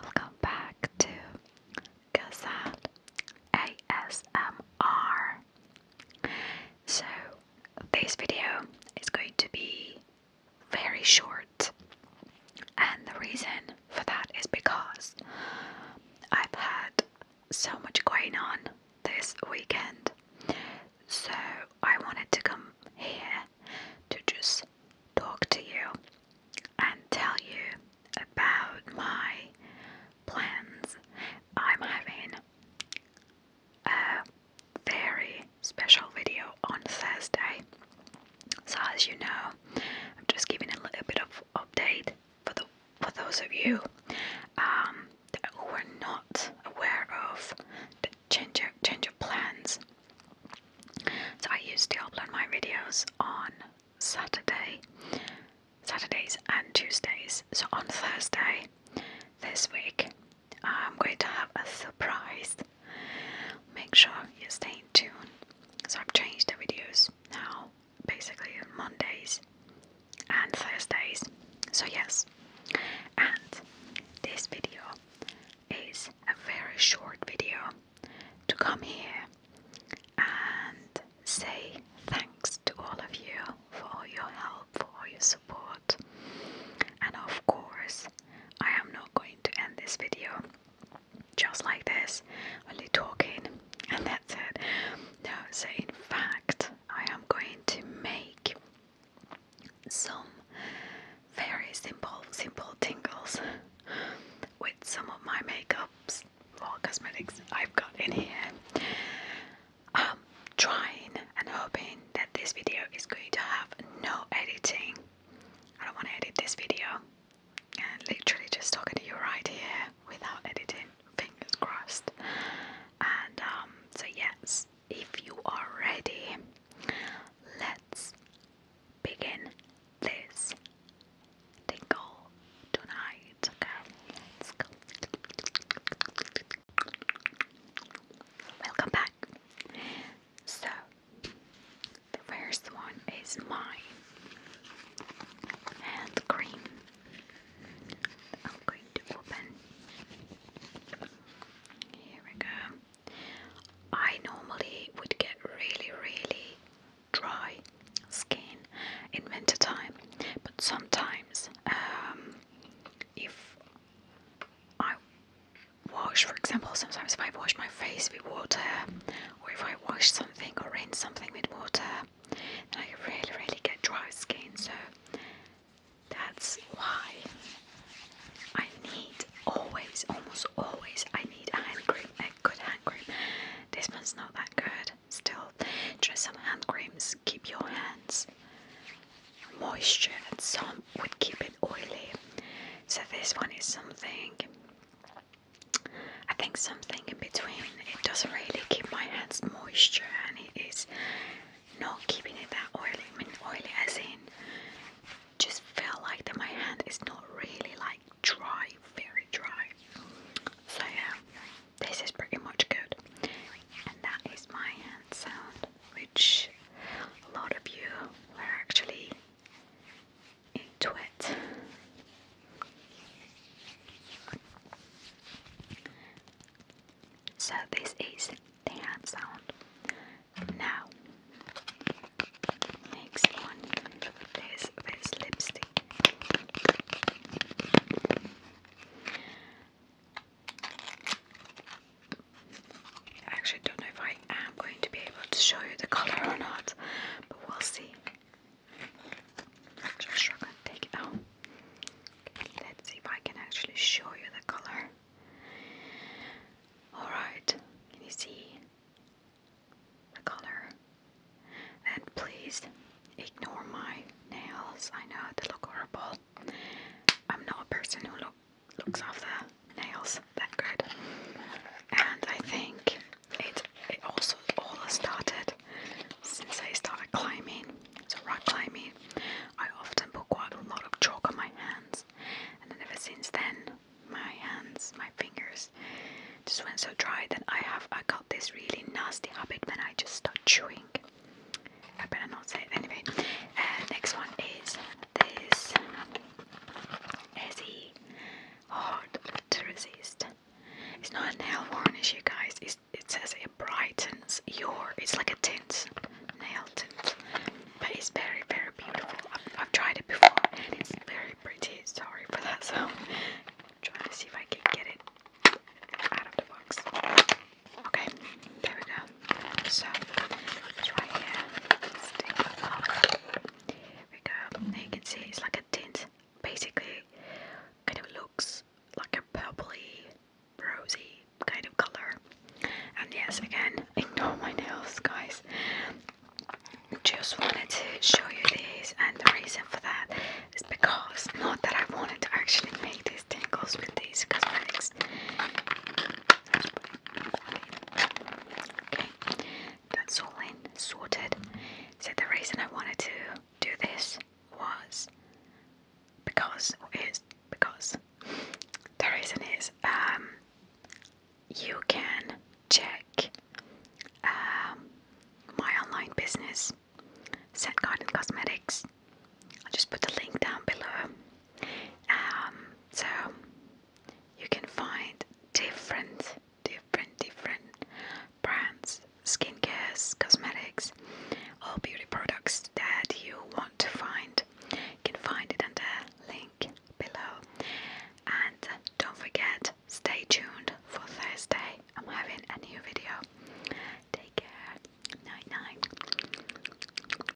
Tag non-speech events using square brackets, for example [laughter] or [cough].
Welcome back to Gazelle ASMR. So, this video is going to be very short, and the reason for that is because I've had so much going on this weekend, so I wanted to come here to just talk to you and tell you about my plans. I'm having a very special video on Thursday. So as you know, I'm just giving a little bit of update for the for those of you um, who are not aware of change your, change your plans. So I used to upload my videos on Saturday, Saturdays and Tuesdays. So on Thursday this week, I'm going to have a surprise. Make sure you stay tuned. So I've changed the videos now, basically Mondays and Thursdays. So yes, and this video is a very short video to come here and say thanks to all of you for all your help, for your support. And of course, I am not going to end this video just like this, only talking, and that's it. No, so in fact, I am going to make some very simple, simple tingles with some of my makeups or cosmetics I've got in here. I'm um, trying and hoping that this video is going to have no editing. I don't want to edit this video and literally just talking to you right here without editing, fingers crossed. And um, so, yes, if you are ready, let's begin this tingle tonight. Okay, Welcome back. So, the first one is my hand cream. I'm going to open. Here we go. I normally would get really, really dry skin in winter time, but sometimes um, if I wash, for example, sometimes if I wash my face with water, or if I wash something or rinse something with water, then I really, really get dry skin. So that's why I need always, almost always, I need a hand cream, a good hand cream. This one's not that good. Still, try some hand creams. Keep your hands moisture, and some would keep it oily. So this one is something. I think something in between it doesn't really keep my hands moisture and it is not keeping it that oily. I mean oily as in just feel like that my hand is not really like dry, very dry. So yeah, this is pretty much good. And that is my hand sound which a lot of you were actually into it. So this is the hand sound. Now, next one is this lipstick. actually don't know if I am going to be able to show you the color or not, but we'll see. Just shrug and take it out. Let's see if I can actually show you the color. Alright, can you see the color? And please ignore my nails. I know they look horrible. I'm not a person who look, looks after nails that good. And I think it it also all started since I started climbing, so rock climbing. I often put quite a lot of chalk on my hands, and ever since then, my hands, my fingers, just went so dry that I have I got this really nasty habit when I just start chewing. I better not say it anyway. Uh, next one is this Ezzy hard to resist. It's not a nail varnish, you guys. it says it brightens your. It's like a tint, nail tint, but it's very, very beautiful. I've, tried it before, and it's very pretty. Sorry for that [laughs] sound. Trying to see if I can get it out of the box. Okay, there we go. So Let's take it off here you can see it's like a tint. Basically, kind of looks like a purpley, rosy kind of color. And yes, again, ignore my nails, guys. Just wanted to show you these, and the reason for that is because not that I wanted to actually make these tingles with these cosmetics. Okay, that's all in, sorted. So the reason I wanted to do this was because, or is because, the reason is um, you can check um, my online business, Set Garden Cosmetics. I'll just put the link down below. Um, so you can find different, different, different brands, skin care, cosmetics, all beauty products that you want to find. You can find it in the link below. And don't forget, stay tuned for Thursday. I'm having a new video. Take care. Night night.